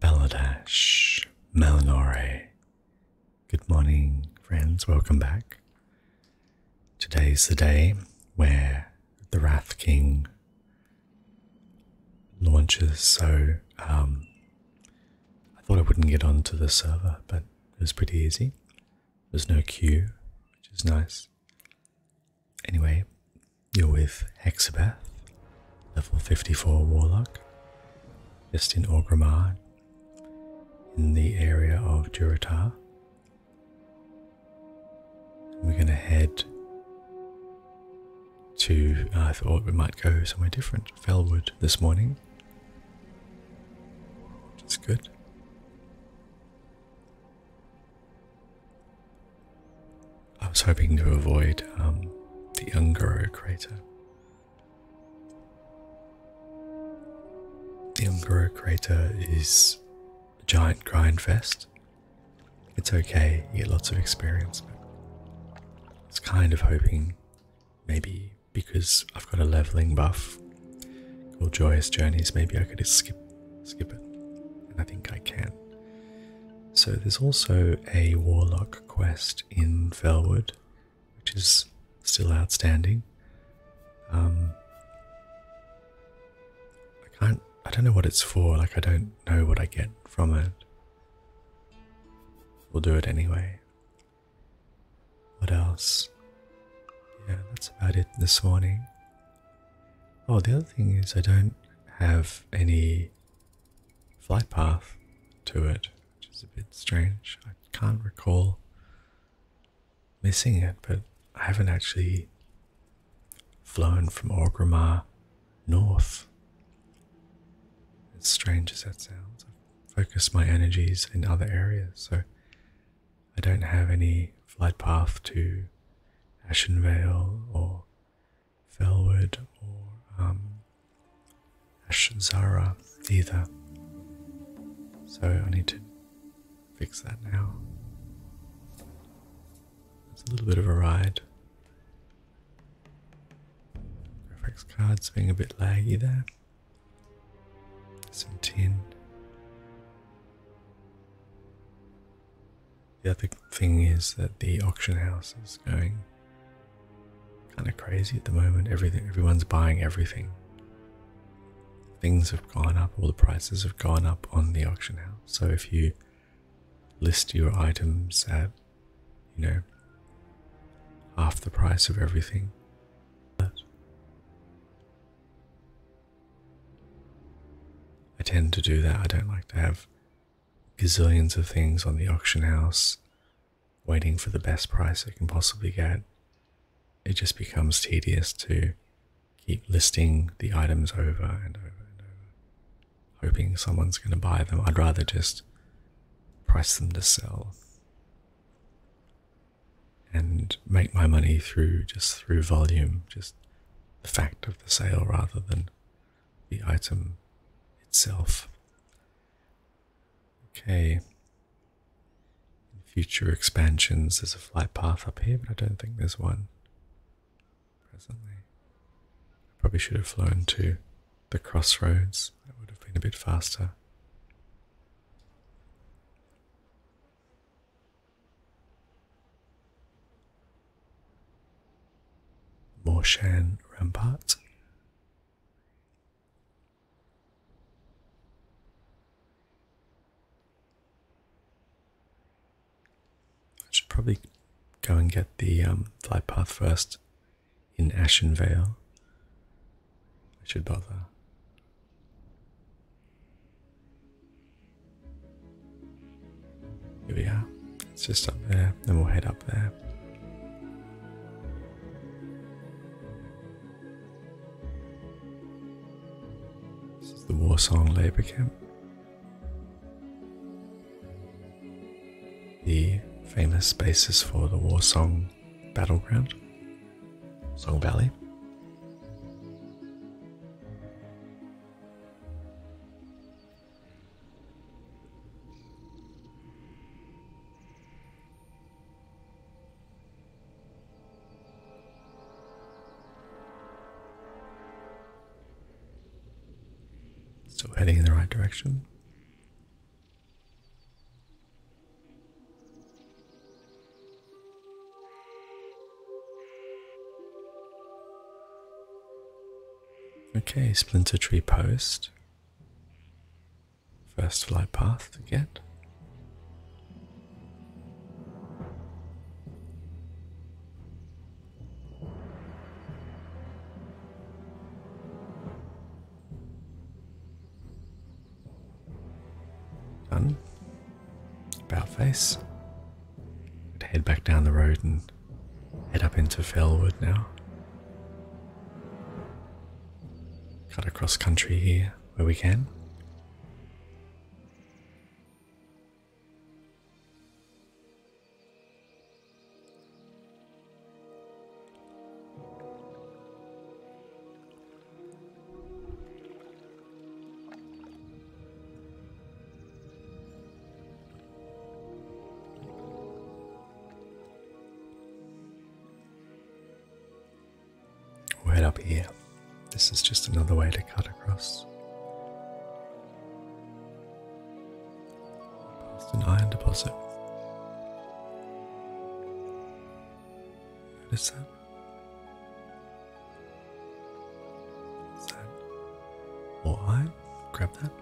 Baladash, Malinore. Good morning, friends. Welcome back. Today's the day where the Wrath King launches, so um, I thought I wouldn't get onto the server, but it was pretty easy. There's no queue, which is nice. Anyway, you're with Hexabeth, level 54 Warlock, just in Orgrimmar, in the area of Durotar. We're going to head to, I thought we might go somewhere different, Fellwood this morning. Which good. I was hoping to avoid um, the Ungoro crater. The Ungoro crater is a giant grind fest. It's okay, you get lots of experience, but I was kind of hoping maybe because I've got a leveling buff called Joyous Journeys, maybe I could just skip skip it. And I think I can. So there's also a warlock quest in Felwood, which is still outstanding. Um, I can't. I don't know what it's for. Like I don't know what I get from it. We'll do it anyway. What else? Yeah, that's about it this morning. Oh, the other thing is I don't have any flight path to it, which is a bit strange. I can't recall missing it, but I haven't actually flown from Orgrimmar north. As strange as that sounds, i focus my energies in other areas, so I don't have any flight path to Ashen Vale or Felwood, or um, either. So I need to fix that now. It's a little bit of a ride. Graphics cards being a bit laggy there. Some ten. The other thing is that the auction house is going kind of crazy at the moment. Everything, everyone's buying everything. Things have gone up, all the prices have gone up on the auction house. So if you list your items at, you know, half the price of everything, I tend to do that. I don't like to have gazillions of things on the auction house, waiting for the best price I can possibly get, it just becomes tedious to keep listing the items over and over and over, hoping someone's going to buy them. I'd rather just price them to sell and make my money through just through volume, just the fact of the sale rather than the item itself. Okay. future expansions, there's a flight path up here, but I don't think there's one presently. I probably should have flown to the crossroads. That would have been a bit faster. Morshan Rampart. I should probably go and get the um, flight path first in Ashen Vale. I should bother. Here we are. It's just up there. Then we'll head up there. This is the Warsaw Labour Camp. The famous basis for the Warsaw battleground, Song Valley. Still heading in the right direction. Okay, Splinter Tree Post. First flight path to get. Done. About face. head back down the road and Head up into Fellwood now. Cut across country here where we can we up here. This is just another way to cut across. It's an iron deposit. Notice that? That? Or iron? Grab that.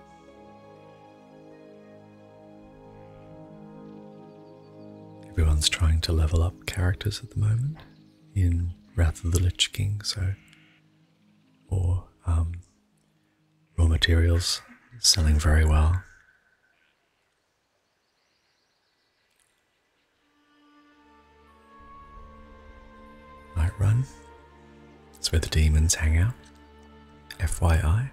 Everyone's trying to level up characters at the moment in Wrath of the Lich King, so or um, raw materials selling very well. Night run it's where the demons hang out. FYI.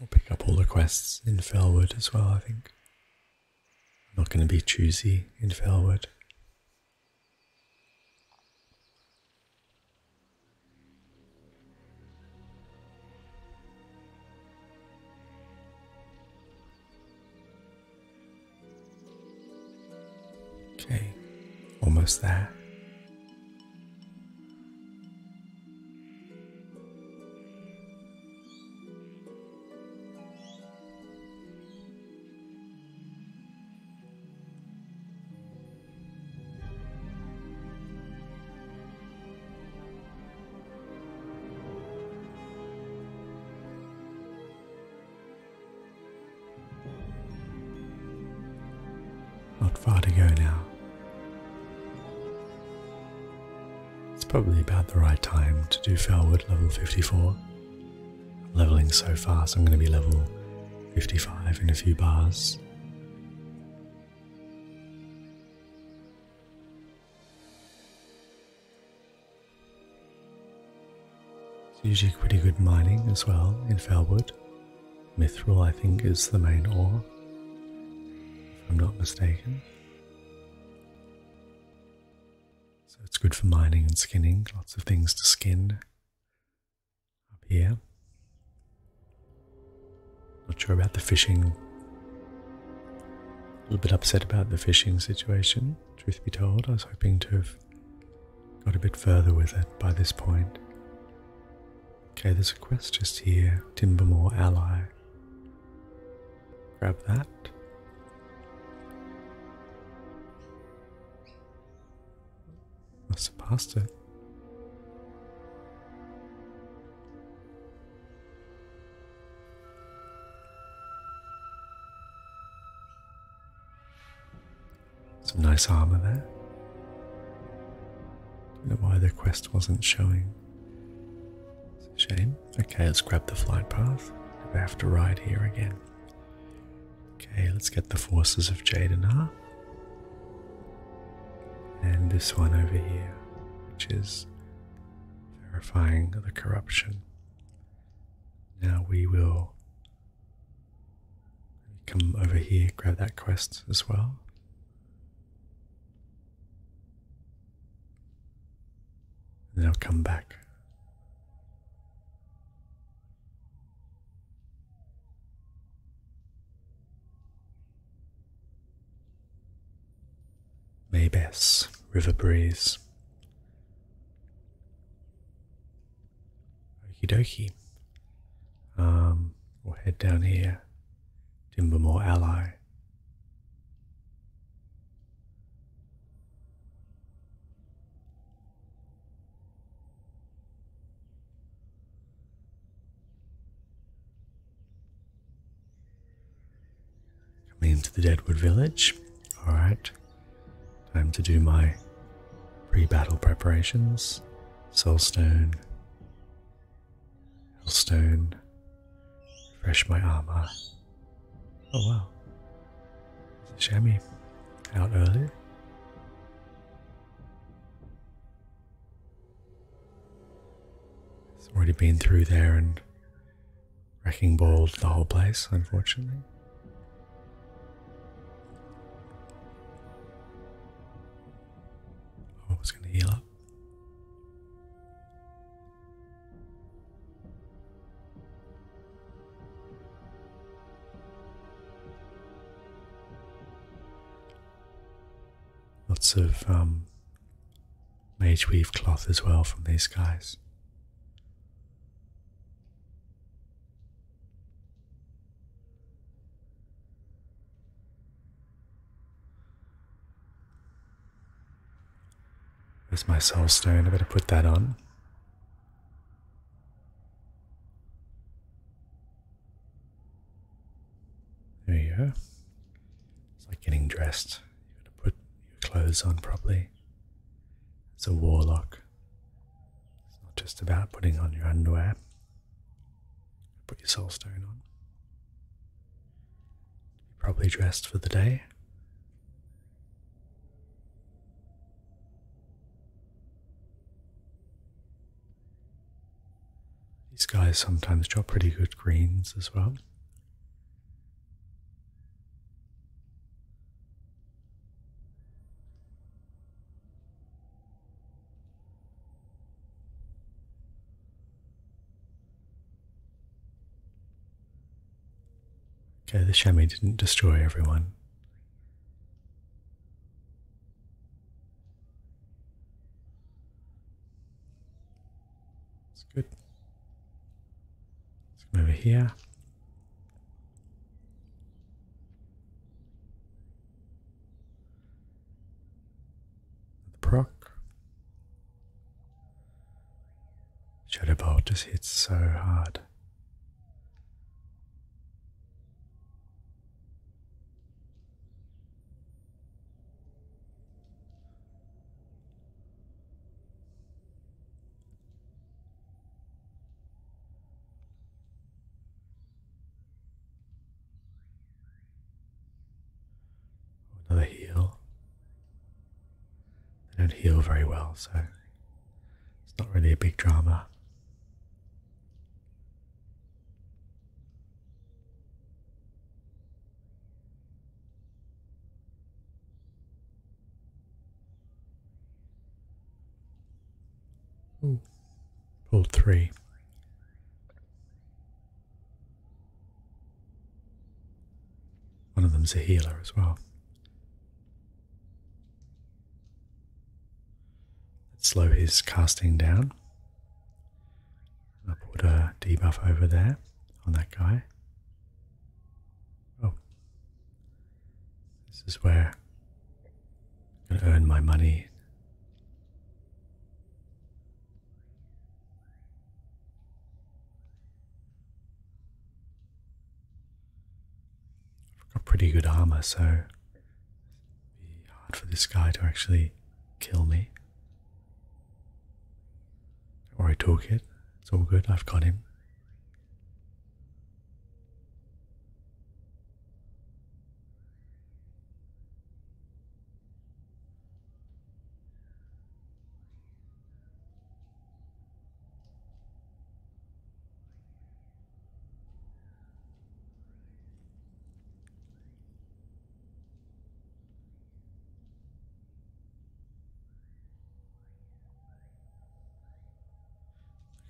We'll pick up all the quests in Felwood as well, I think. I'm not going to be choosy in Felwood. Okay, almost there. Not far to go now. It's probably about the right time to do Felwood level 54 leveling so fast! I'm going to be level 55 in a few bars. It's usually pretty good mining as well in Felwood. Mithril, I think, is the main ore, if I'm not mistaken. So it's good for mining and skinning, lots of things to skin up here. Not sure about the fishing. A little bit upset about the fishing situation, truth be told. I was hoping to have got a bit further with it by this point. Okay, there's a quest just here Timbermore Ally. Grab that. I surpassed it. Some nice armor there. I don't know why the quest wasn't showing. It's a shame. Okay, let's grab the flight path. We have to ride here again. Okay, let's get the forces of Jadanar. And this one over here, which is verifying the corruption. Now we will come over here, grab that quest as well. And then I'll come back. May River Breeze. Okie dokie. Um, we'll head down here. Timbermore Ally. Coming into the Deadwood Village. Alright. Time to do my pre battle preparations. Soulstone. Hellstone. Refresh my armor. Oh wow. Shammy out early. It's already been through there and wrecking balled the whole place, unfortunately. Oh, it's going to heal up. Lots of um, mage weave cloth as well from these guys. There's my soul stone, I better put that on. There you go. It's like getting dressed. You gotta put your clothes on properly. It's a warlock. It's not just about putting on your underwear. Put your soulstone on. You're properly dressed for the day. These guys sometimes drop pretty good greens as well. Okay, the chamois didn't destroy everyone. It's good. Let's come over here. The proc. Should Bolt just hit so hard. Another heal. They don't heal very well, so it's not really a big drama. Ooh. Pulled three. One of them's a healer as well slow his casting down. I'll put a debuff over there on that guy. Oh. This is where I'm going to earn my money I've got pretty good armor, so it be hard for this guy to actually kill me. Or not worry, toolkit. It's all good. I've got him.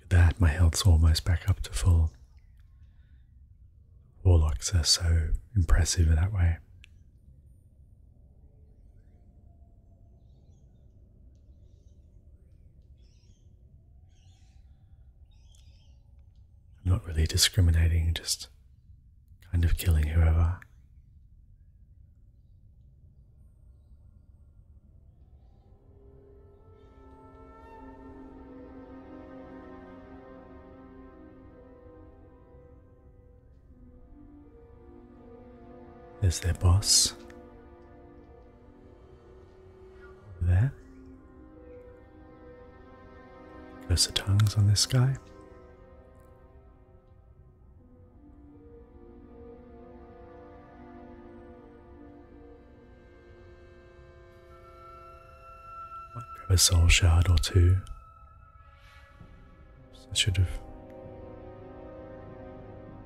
Look at that, my health's almost back up to full. Warlocks are so impressive that way. I'm not really discriminating, just kind of killing whoever. Is there, boss. There. Curse of tongues on this guy. Might grab a soul shard or two. I should have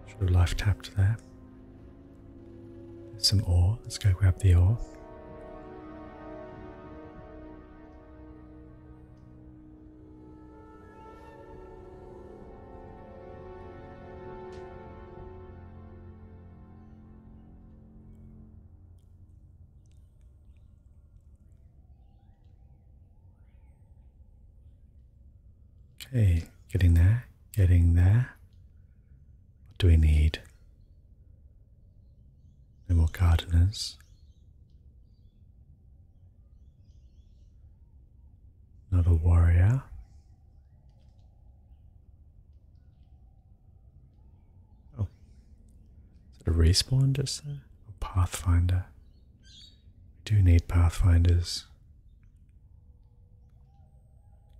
should have life tapped there. There's some ore. Let's go grab the ore. Okay, getting there, getting there. What do we need? No more gardeners. Another warrior. Oh. Is it a respawn just there? A Pathfinder? We do need Pathfinders.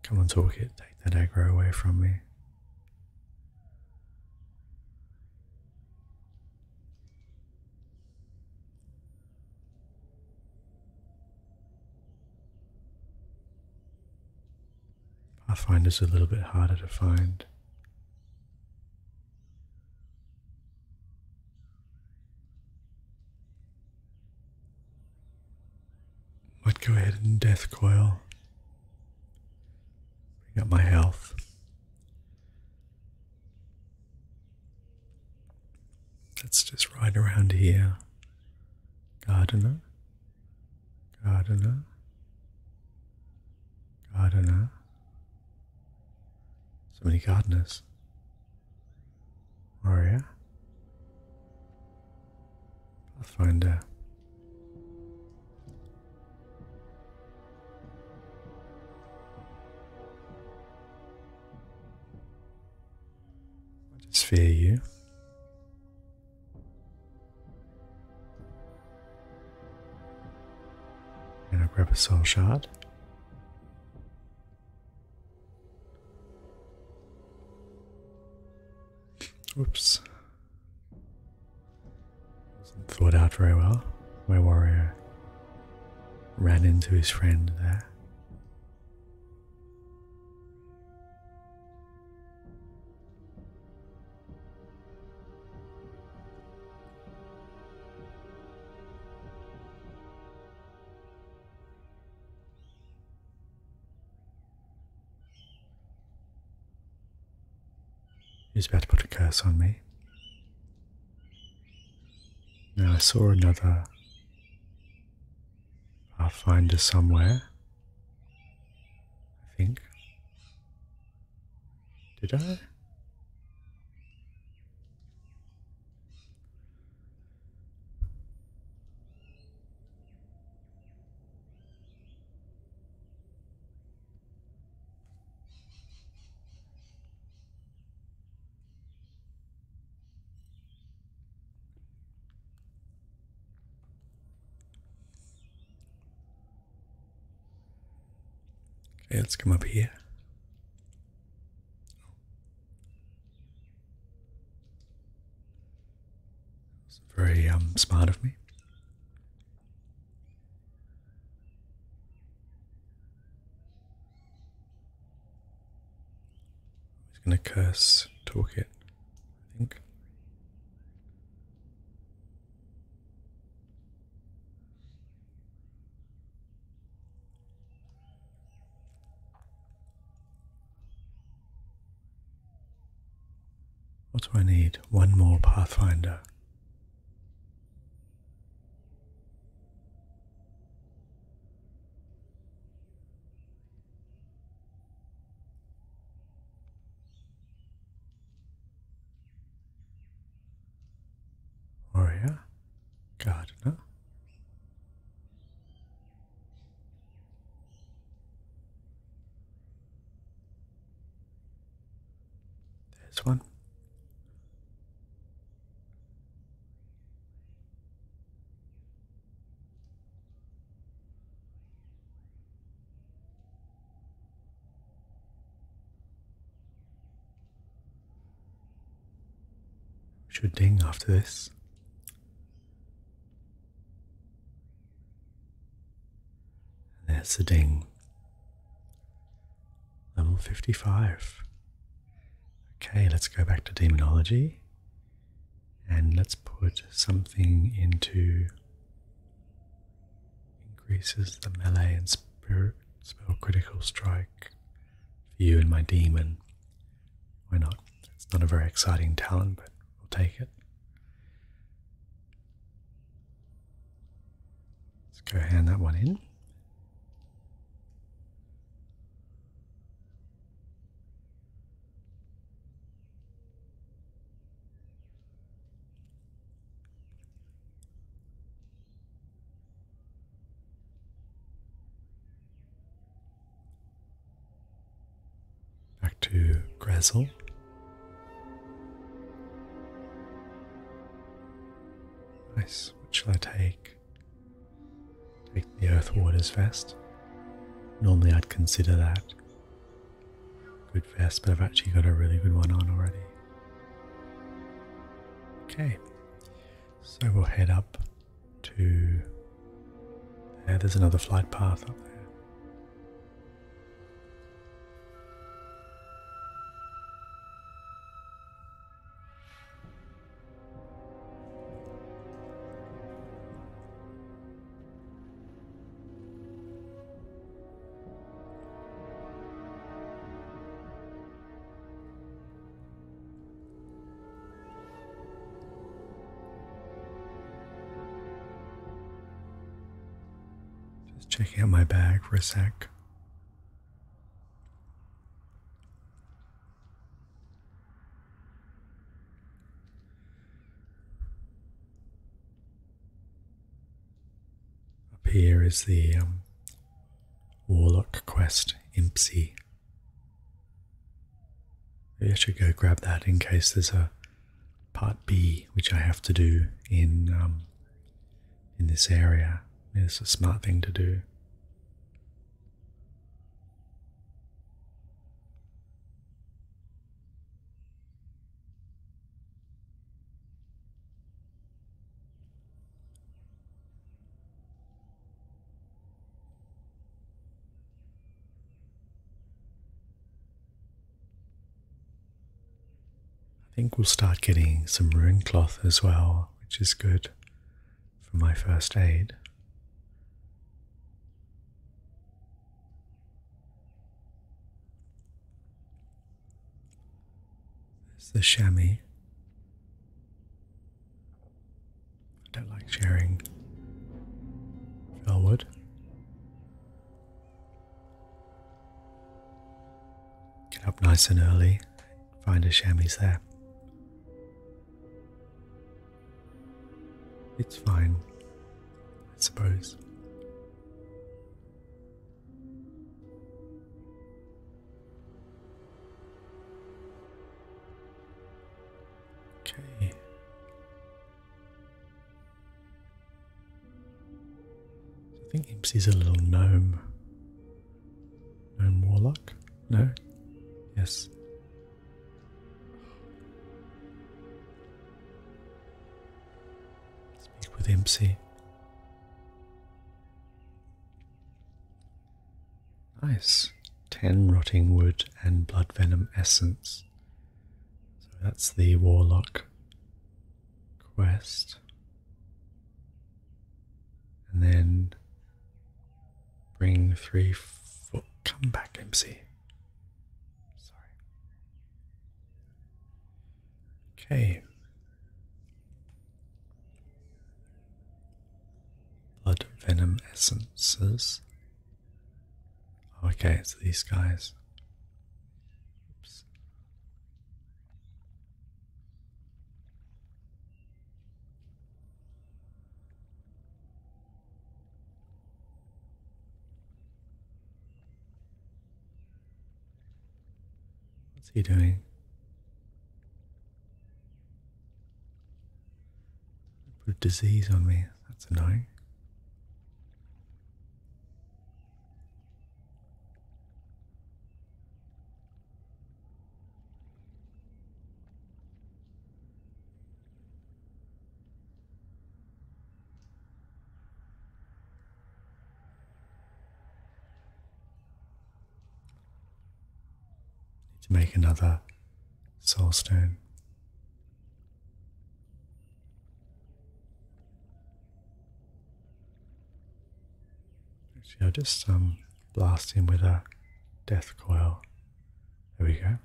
Come on, talk it. take that aggro away from me. I find Pathfinder's a little bit harder to find. But go ahead and death coil. Bring up my health. Let's just ride around here. Gardener. Gardener. Gardener. So many gardeners. Maria. I'll find her. I just fear you. And I grab a soul shard. Oops. thought out very well. My warrior ran into his friend there. He's about to put a curse on me. Now I saw another Pathfinder somewhere. I think. Did I? Okay, let's come up here was very um, smart of me. He's going to curse Talkit, I think. What do I need? One more Pathfinder. Warrior, Gardener, there's one. Should ding after this. There's a ding. Level 55. Okay, let's go back to demonology and let's put something into increases the melee and spirit spell critical strike for you and my demon. Why not? It's not a very exciting talent, but we'll take it. Let's go hand that one in. Back to Grezel. Nice. What shall I take? Take the Earth Warder's vest. Normally I'd consider that good vest, but I've actually got a really good one on already. Okay, so we'll head up to there's another flight path up there. Just checking out my bag for a sec. Up here is the um, Warlock Quest Impsy. Maybe I should go grab that in case there's a part B, which I have to do in um, in this area. is a smart thing to do. I think we'll start getting some rune cloth as well, which is good for my first aid. There's the chamois. I don't like sharing fellwood. Get up nice and early, find a chamois there. It's fine, I suppose. Okay. I think is a little gnome. Gnome warlock? No? Yes. Speak with Impsy. Nice. Ten rotting wood and blood venom essence. So that's the Warlock quest. And then bring three foot. Come back, MC. Sorry. Okay. Blood Venom Essences. Okay, it's these guys. Oops. What's he doing? Put a disease on me. That's annoying. Need to make another soul stone. See, I'll just um, blast him with a death coil. There we go.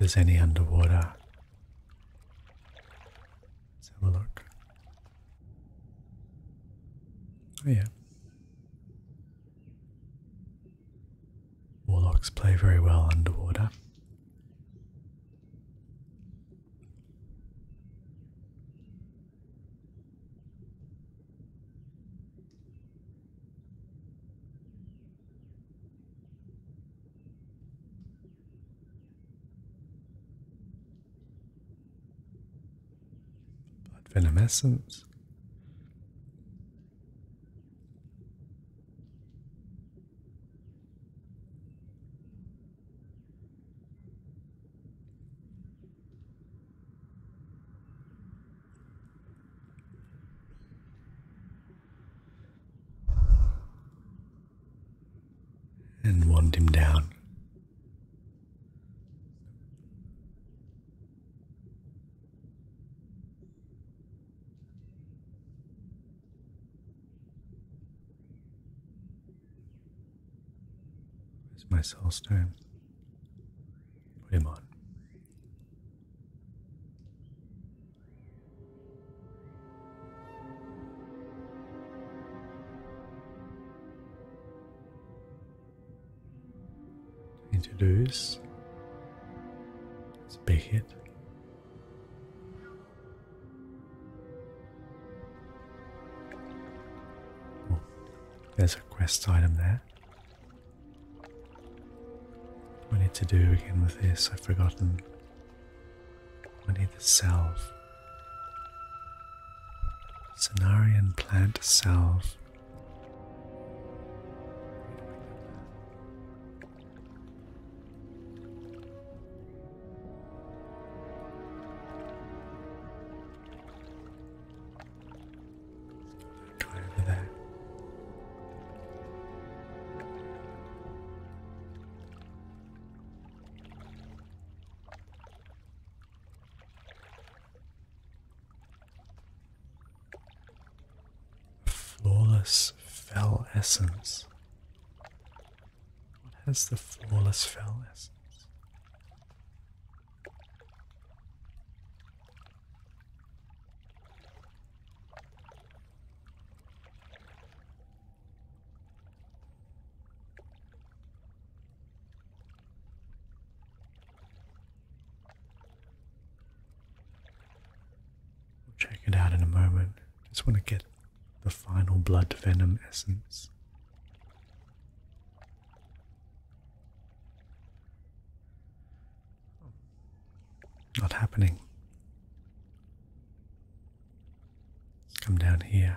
If there's any underwater, let's have a look. Oh, yeah. Warlocks play very well underwater. Blood venom essence and wand him down. It's my soul's stone? Put him on. Need to it. There's a quest item there. What I need to do again with this? I've forgotten. I need the self. Cenarian plant self. Flawless fell essence. What has the flawless fell essence? We'll check it out in a moment. Just want to get the final blood venom essence. Hmm. Not happening. come down here.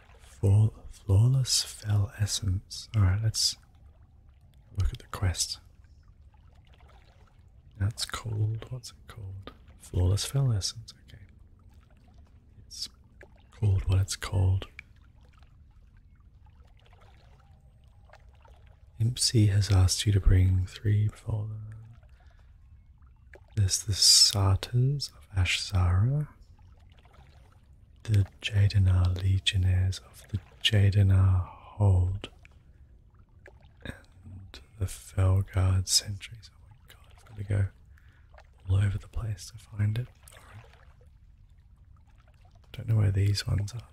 Flaw flawless fell essence. Alright, let's look at the quest. That's called, what's it called? Flawless fell essence, okay. It's called what it's called. Impsy has asked you to bring three for This the Satyrs of Ashzara the Jadenar legionnaires of the Jadenar Hold and the Felguard sentries. Oh my god, I've got to go all over the place to find it. Alright. Don't know where these ones are.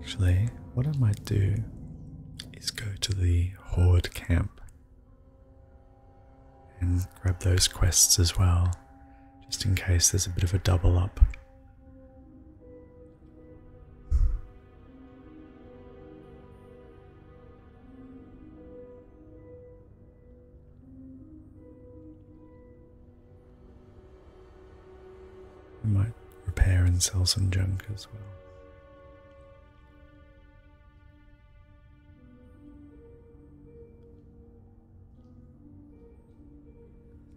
Actually, what I might do is go to the Horde camp and grab those quests as well just in case there's a bit of a double up. I might repair and sell some junk as well.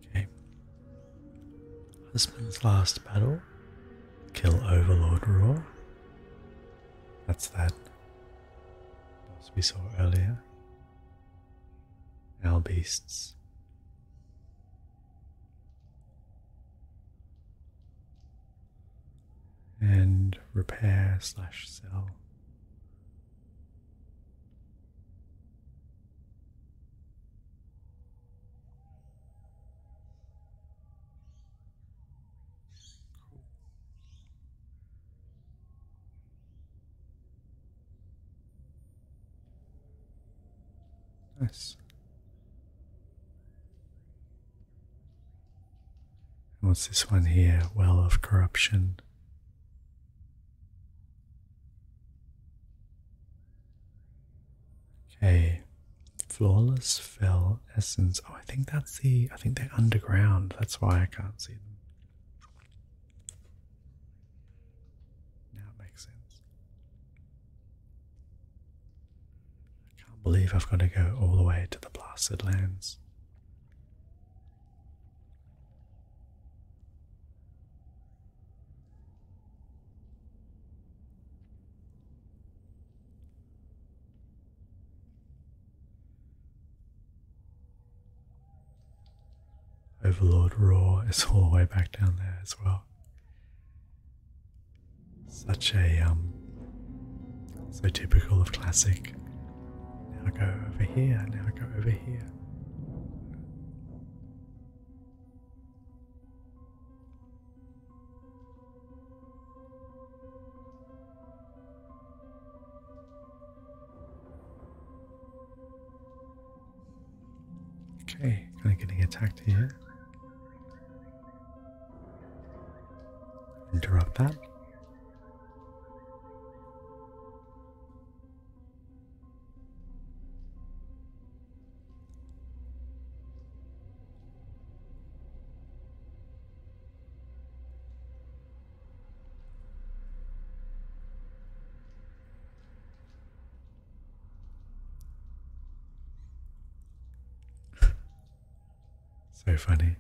Okay. Husband's last battle. Kill Overlord Roar. That's that boss we saw earlier. Our beasts. And repair slash sell Nice. What's this one here? Well of Corruption. Okay, flawless fell essence. Oh, I think that's the. I think they're underground. That's why I can't see them. Now it makes sense. I can't believe I've got to go all the way to the blasted lands. Overlord Roar is all the way back down there as well. Such a um so typical of classic now go over here, now go over here. Okay, kind of getting attacked here. Interrupt that so funny.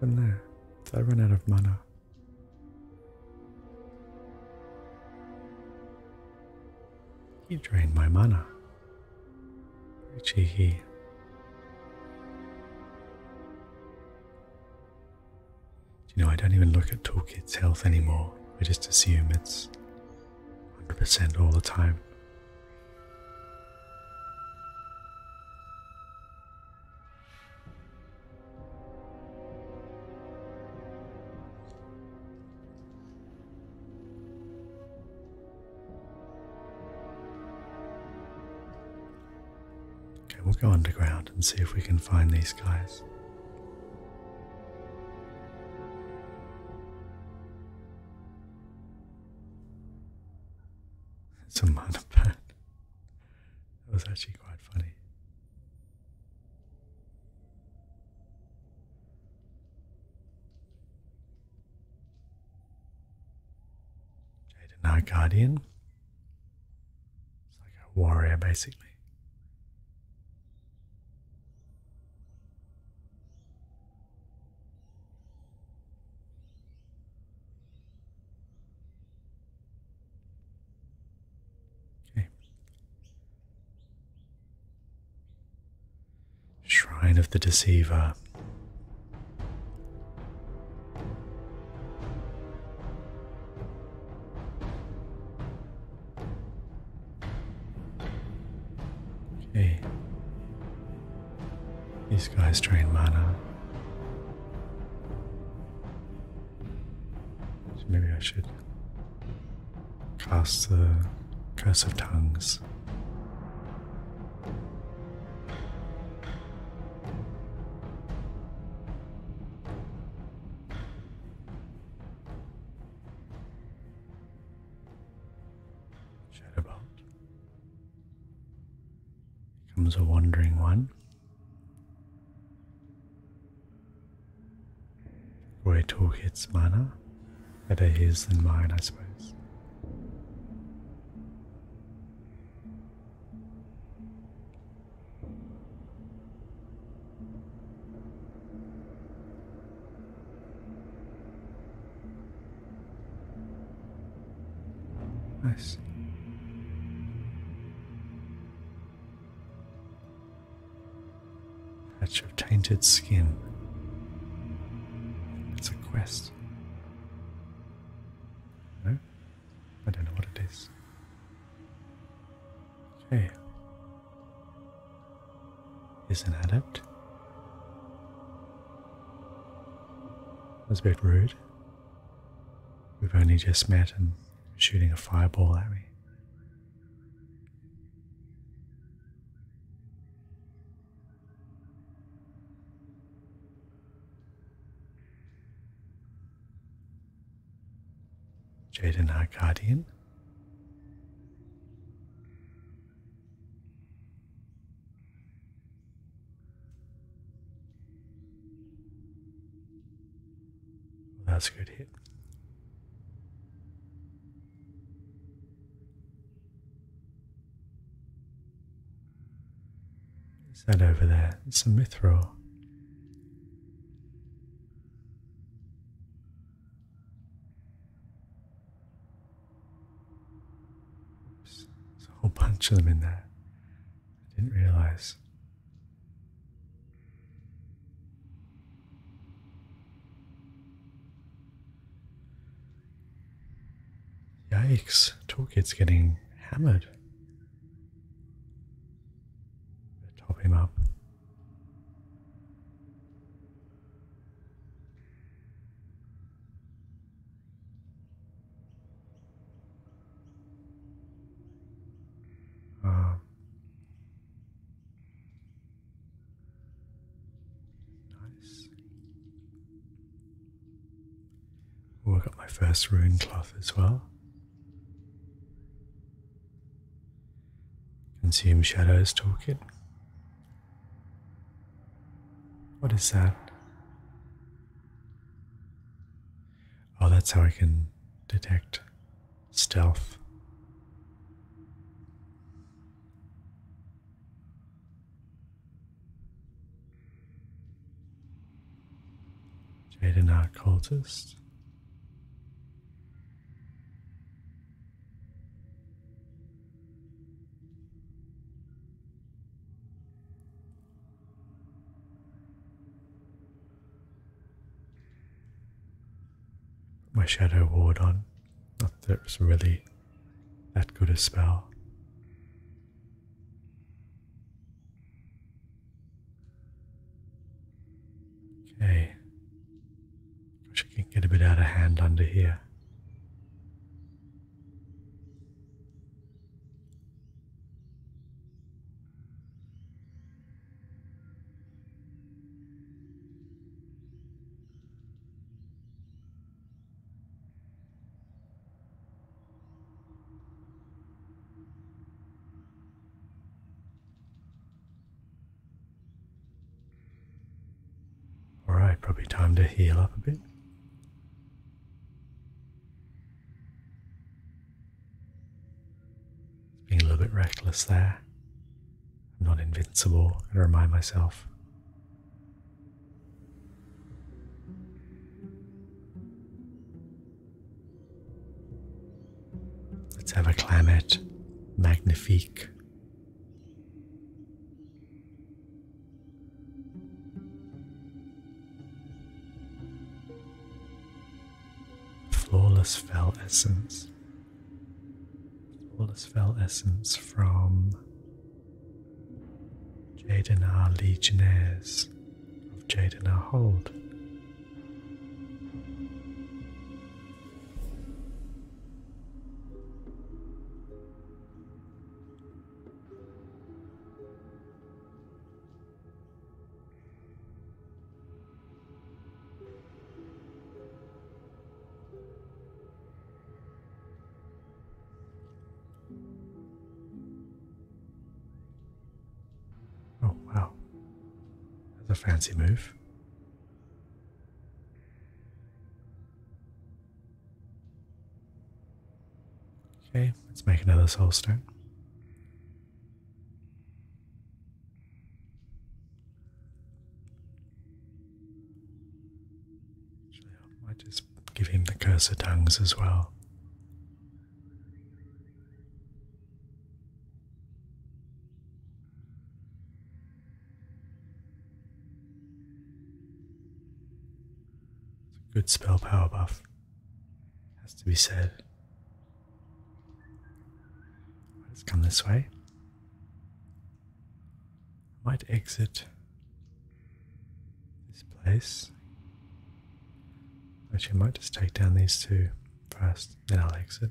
What happened there? Did I run out of mana? You drained my mana. Very he you know, I don't even look at Toolkit's health anymore. I just assume it's 100% all the time. Okay, we'll go underground and see if we can find these guys. It's a monopat. That was actually quite funny. Jaden High Guardian. It's like a warrior basically. Okay. Shrine of the Deceiver. Okay. These guys drain mana. maybe I should cast the Curse of Tongues. Chatterbox becomes a wandering one. Where its manner, better his than mine, I suppose. I see. Patch of tainted skin. It's a quest. No? I don't know what it is. Jay is an adept. Was a bit rude. We've only just met and shooting a fireball at me. Jaden Arcadian. That's a good hit. Is that over there? It's a mithril. Oops, there's a whole bunch of them in there. I didn't realize. Yikes, Toolkit's getting hammered. Top him up. Uh, nice. Well, I got my first rune cloth as well. Consume shadows toolkit. What is that? Oh, that's how I can detect stealth. Jaden Art Cultist. My Shadow Ward on. Not that was really that good a spell. Okay which can get a bit out of hand under here. Alright, probably time to heal up a bit. Being a little bit reckless there. I'm not invincible, I remind myself. Let's have a climate magnifique. Flawless fell essence. Flawless fell essence from Jadenar Legionnaires of Jadenar Hold. Oh, wow. That's a fancy move. Okay, let's make another soul stone. I might just give him the curse of tongues as well. It's a good spell power buff, has to be said. Let's come this way. I might exit this place. Actually, I might just take down these two first, then I'll exit.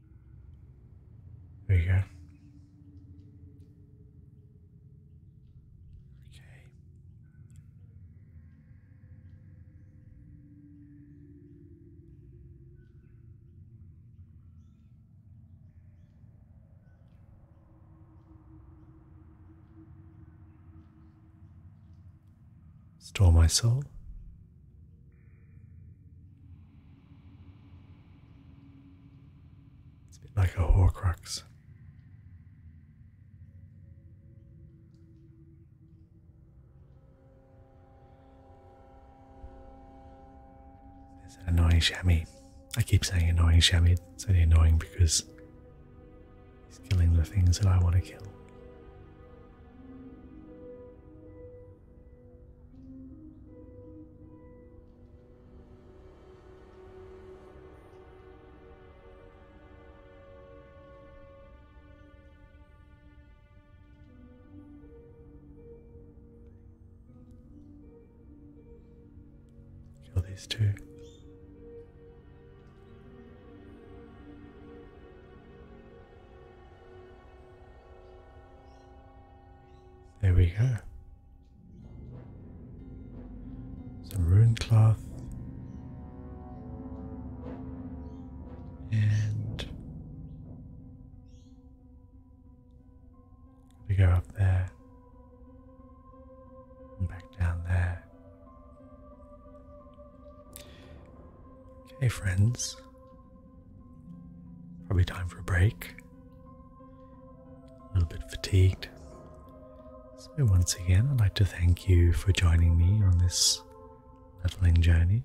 There you go. Okay. Store my soul. It's a bit like a Horcrux. There's an annoying Shami. I keep saying annoying Shami. It's only annoying because he's killing the things that I want to kill. Kill these two. There we go. Some rune cloth. And we go up there and back down there. Okay, friends, Probably time for a break. A little bit fatigued. So, once again, I'd like to thank you for joining me on this leveling journey.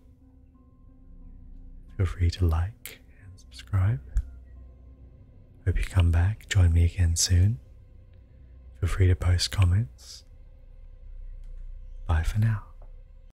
Feel free to like and subscribe. Hope you come back, join me again soon. Feel free to post comments. Bye for now.